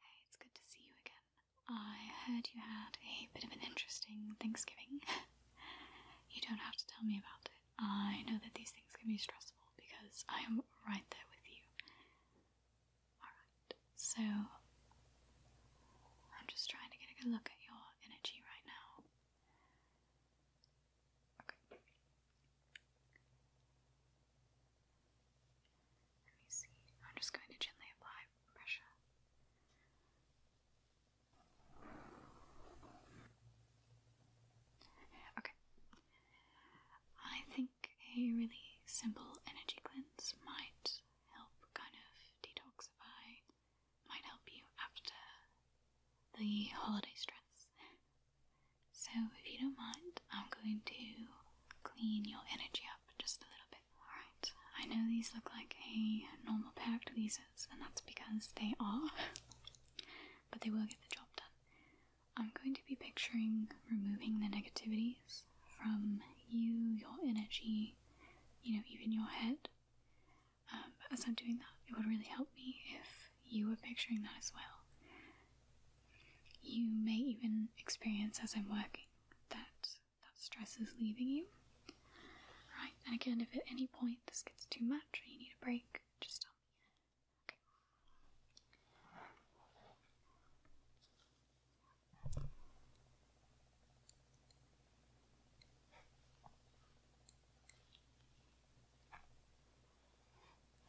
Hey, it's good to see you again. I heard you had a bit of an interesting Thanksgiving. you don't have to tell me about it. I know that these things can be stressful because I am right there with you. Alright, so I'm just trying to get a good look at your energy right now. Okay. Let me see. I'm just going to gently apply pressure. Okay. I think a really simple energy cleanse might help kind of detoxify, might help you after the holiday stress so, if you don't mind, I'm going to clean your energy up just a little bit. Alright, I know these look like a normal pair of tweezers, and that's because they are, but they will get the job done. I'm going to be picturing removing the negativities from you, your energy, you know, even your head. Um, as I'm doing that, it would really help me if you were picturing that as well. You may even experience as I'm working that that stress is leaving you. Right, and again, if at any point this gets too much or you need a break, just tell me. Okay.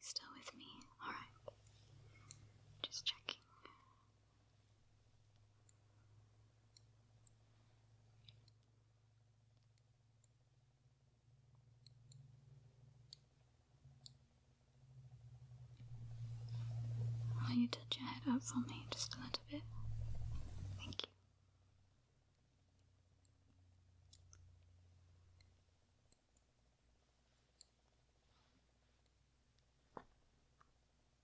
Still with me? Alright. Just checking. Will you touch your head up for me just a little bit? Thank you.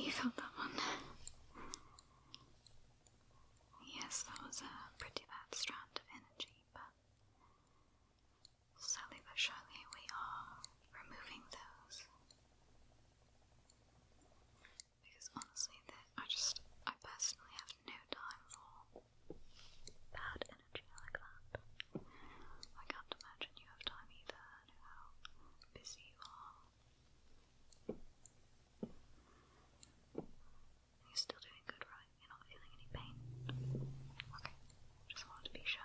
you felt that one. yes, that was a pretty bad strand of energy, but slowly but surely we are removing those because honestly, I just, I personally have no time for bad energy like that. I can't imagine you have time either, how busy you are. You're still doing good, right? You're not feeling any pain? Okay, just wanted to be sure.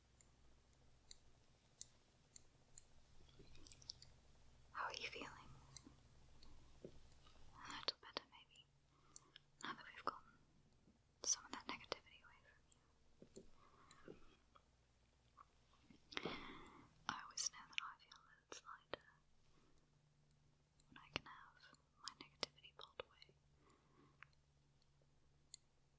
How are you feeling? A little better, maybe. Now that we've gotten some of that negativity away from you. I always know that I feel a little lighter when I can have my negativity pulled away.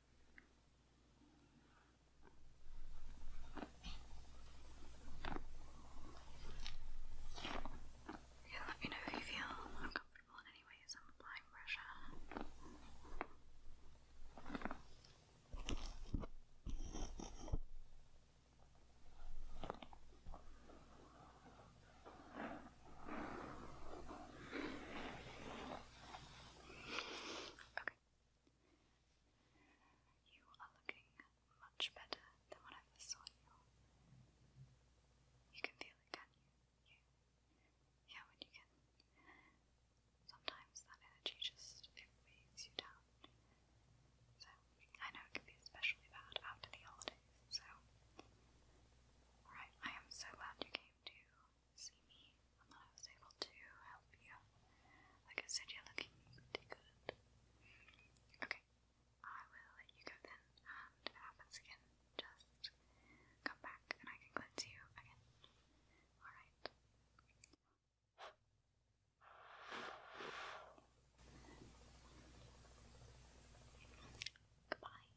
Okay, let me know if you feel uncomfortable in any way I'm applying pressure. Okay. You are looking much better than when I saw you. You can feel it, can you? Yeah, when you can. Sometimes that energy just weighs you down. So I know it can be especially bad after the holidays. So, alright, I am so glad you came to see me and I was able to help you. Like I said, you're looking pretty good. Okay, I will let you go then, and if it happens again, just come back and I can cleanse you again. Alright. Goodbye.